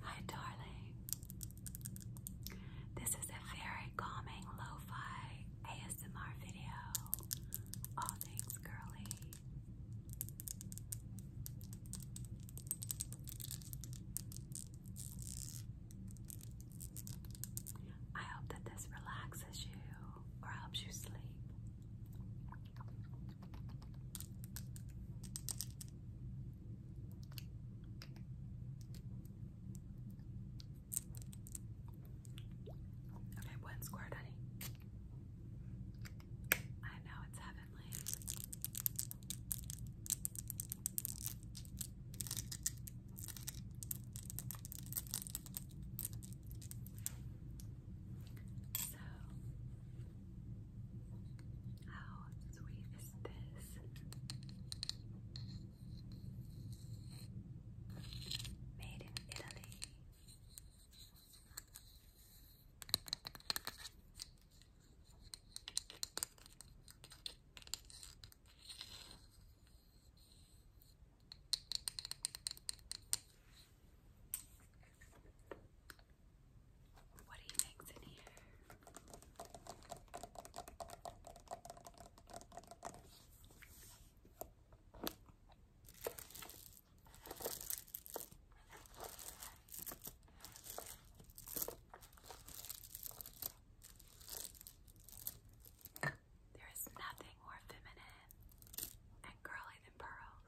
Hi, darling. This is a very calming lo-fi ASMR video. All things girly. I hope that this relaxes you or helps you sleep. Okay, one squirt, honey. I know it's heavenly. So, how sweet is this? Made in Italy. What do you think's in here? There is nothing more feminine and girly than pearls.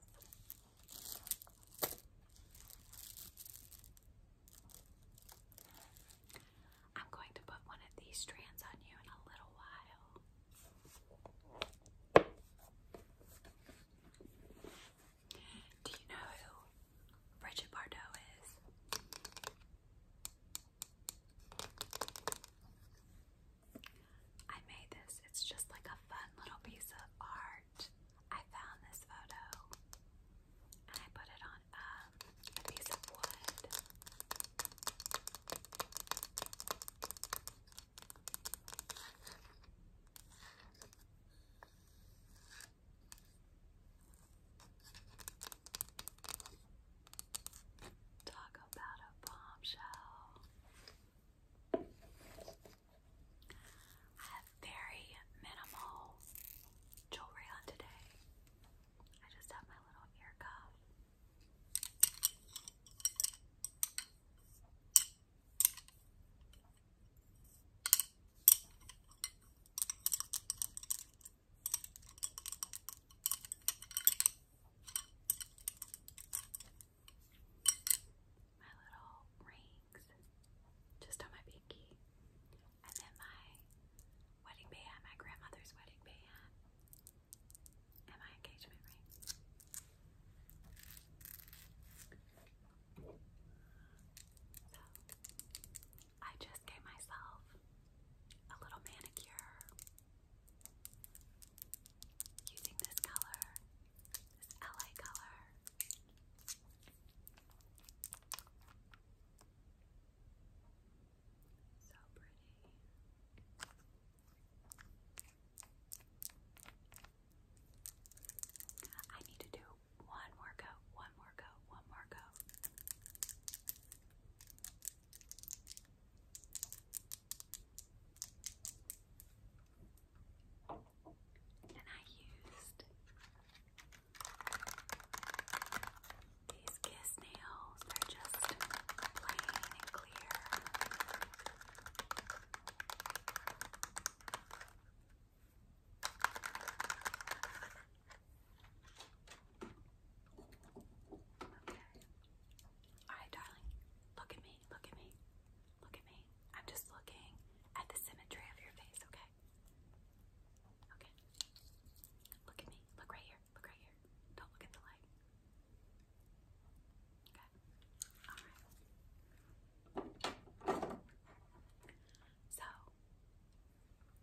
I'm going to put one of these strands on you in a little while. Do you know who Bridget Bardot is? I made this. It's just like a fun little piece of art. I found this photo and I put it on um, a piece of wood. Talk about a bombshell. I have very minimal jewelry on today. I just have my little ear cuff my little rings just on my pinky, and then my wedding band, my grandmother's wedding band, and my engagement ring. I just gave myself a little manicure using this color, this LA color. So pretty. I need to do one more coat, one more coat, one more coat. And I used these kiss nails, they're just plain and clear. Okay. Alright, darling, look at me look at me, look at me. I'm just looking at the symmetry of your face, okay? Okay. Look at me. Look right here. Look right here. Don't look at the light. Okay. Alright. So I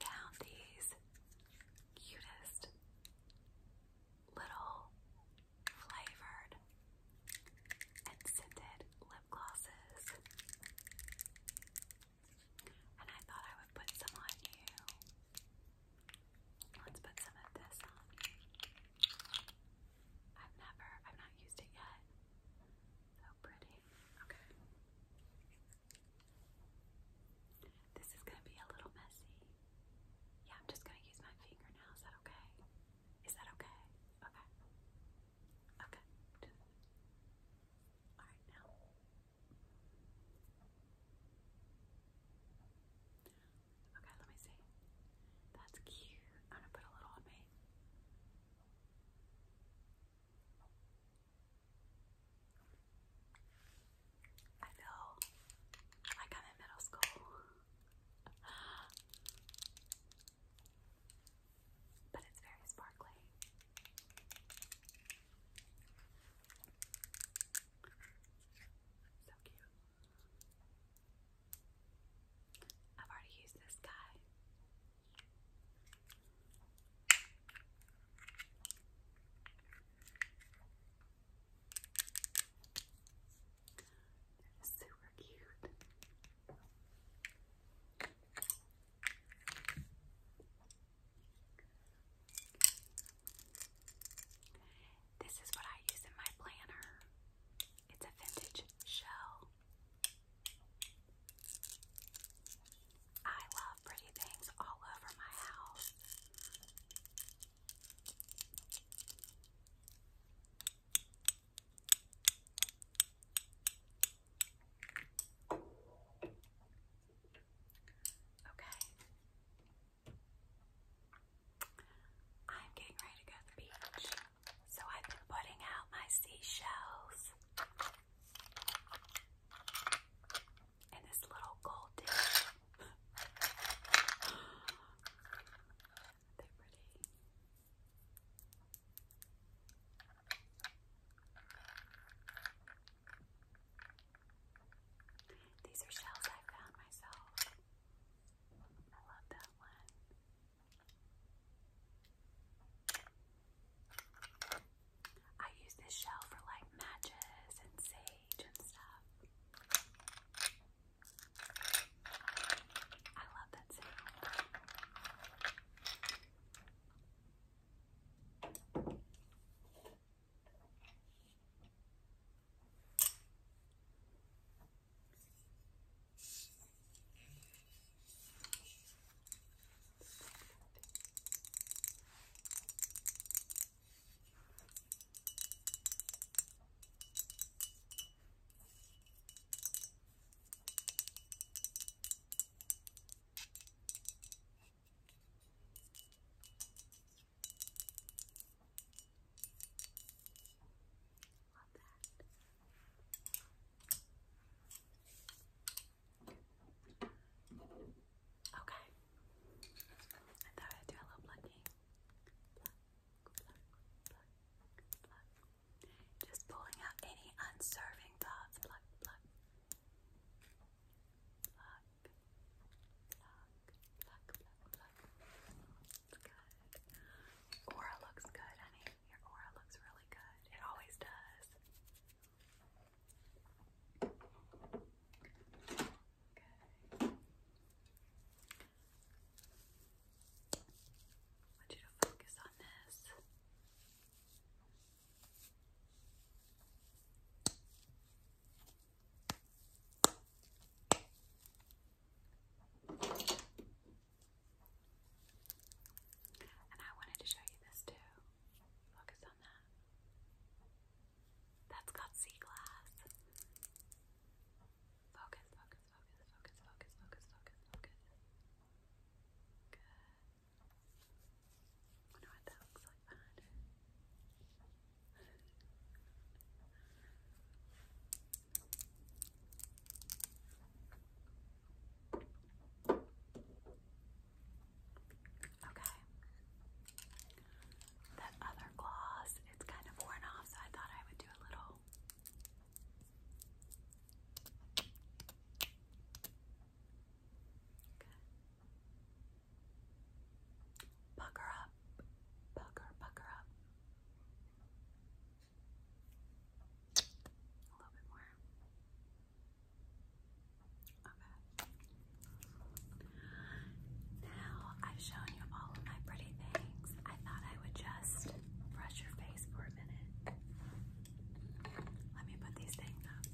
found these cutest little flavored and scented lip glosses. And I thought I would put some on you. Let's put some of this on. I've never, I've not used it yet. So oh, pretty. Okay. This is going to be a little messy. Yeah, I'm just going to use my finger Is that okay? Is that okay? Okay. Okay. All right, now. Okay, let me see. That's cute. I'm going to put a little on me. I feel like I'm in middle school. But it's very sparkly. So cute. I've already used this guy super cute. This is what I use in my planner. It's a vintage shell. I love pretty things all over my house. Okay. I'm getting ready to go to the beach. So I've been putting out my seashells. And this little gold dish. They're pretty. These are shells I found myself. I love that one. I use this shell for like matches and sage page and stuff. I love that sound. Okay. Love that. Okay. I thought I'd do a little plucking. Just pulling out any unserving thoughts. aura looks good, honey. Your aura looks really good. It always does. Okay. I want you to focus on this. And I wanted to show you this too. Focus on that. That's got sea glass. Focus, focus, focus, focus, focus, focus, focus, Good. I wonder what that looks like Okay. That other gloss, it's kind of worn off, so I thought I would do a little. Okay. Pucker up. Pucker, pucker up. A little bit more. Now I've shown you all of my pretty things. I thought I would just brush your face for a minute. Let me put these things up.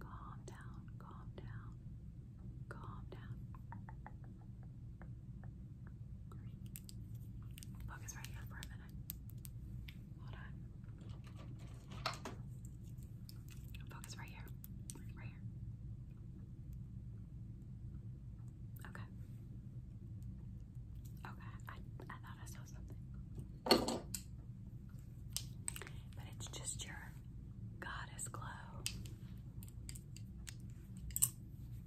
Calm down, calm down, calm down. Focus right here for a minute. Hold on. Focus right here. Right here. Okay. Okay. I I thought I saw something. But it's just your goddess glow.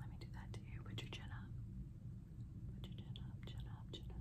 Let me do that to you. Put your chin up. Put your chin up, chin up, chin up.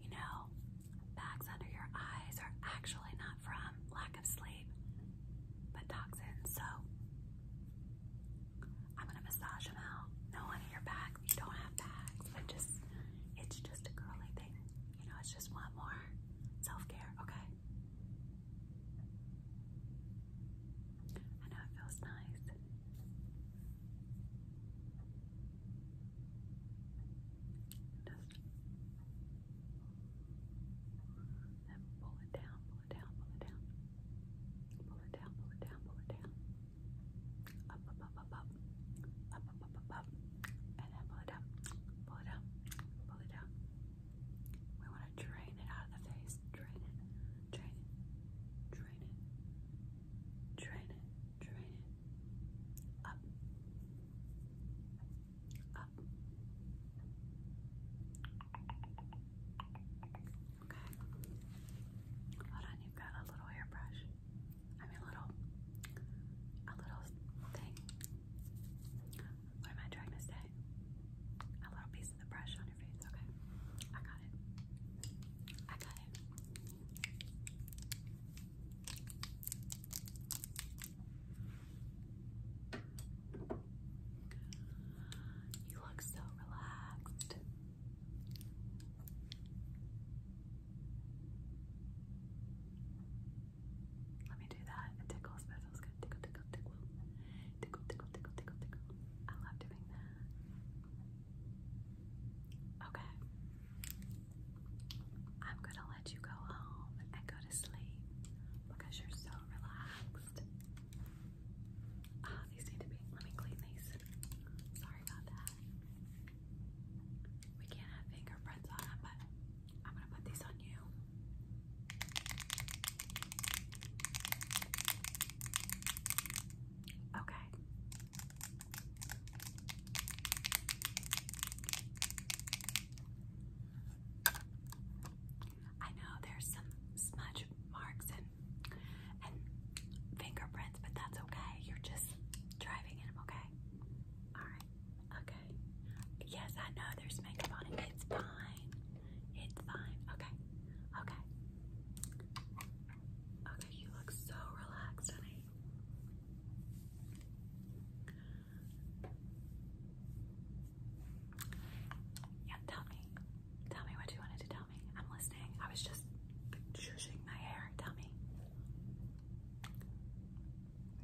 You know, bags under your eyes are actually not from lack of sleep sleep, but Doc's in, so I'm gonna massage him out. No one in your back, you don't have bags, but just it's just a girly thing, you know, it's just one more self-care, okay? I know it feels nice. Just and pull it down, pull it down, pull it down. Pull it down, pull it down, pull it down. Up, up, up, up, up. Up, up, up, up, up. And then pull it up, pull it up, pull it up. We want to drain it out of the face. Drain it, drain it, drain it, drain it, drain it. Up. Up, up. Okay. Hold on, you've got a little hairbrush. I mean, little, a little thing. What am I trying to say? A little piece of the brush on your face. Okay. I got it. I got it. You look so relaxed. Let me do that. It tickles. That feels good. Tickle, tickle, tickle. Tickle, tickle, tickle, tickle, tickle. I love doing that. Okay. I'm gonna let you go home and go to sleep because you're so relaxed. Ah, these need to be. Let me clean these. Sorry about that. We can't have fingerprints on them, but I'm gonna put these on you. Okay. I know there's some smudge marks and and fingerprints, but that's okay. You're just driving in them, okay? Alright, okay. Yes, I know there's makeup on it. It's fine. It's fine. Okay. Okay. Okay, you look so relaxed, honey. Yeah, tell me. Tell me what you wanted to tell me. I'm listening. I was just choosing my hair. Tell me.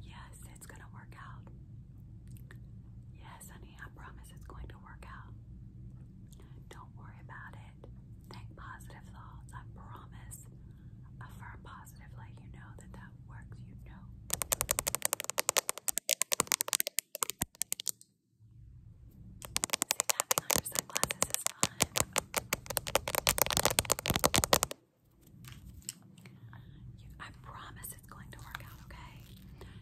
Yes, it's gonna work out. Yes, honey, I promise it's going to work out. Don't worry about it. Think positive thoughts. I promise. Affirm positively. You know that that works. You know. I promise it's going to work out, okay?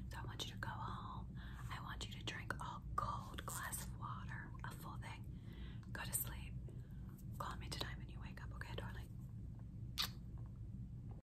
So I want you to go home. I want you to drink a cold glass of water, a full thing. Go to sleep. Call me tonight when you wake up, okay, darling?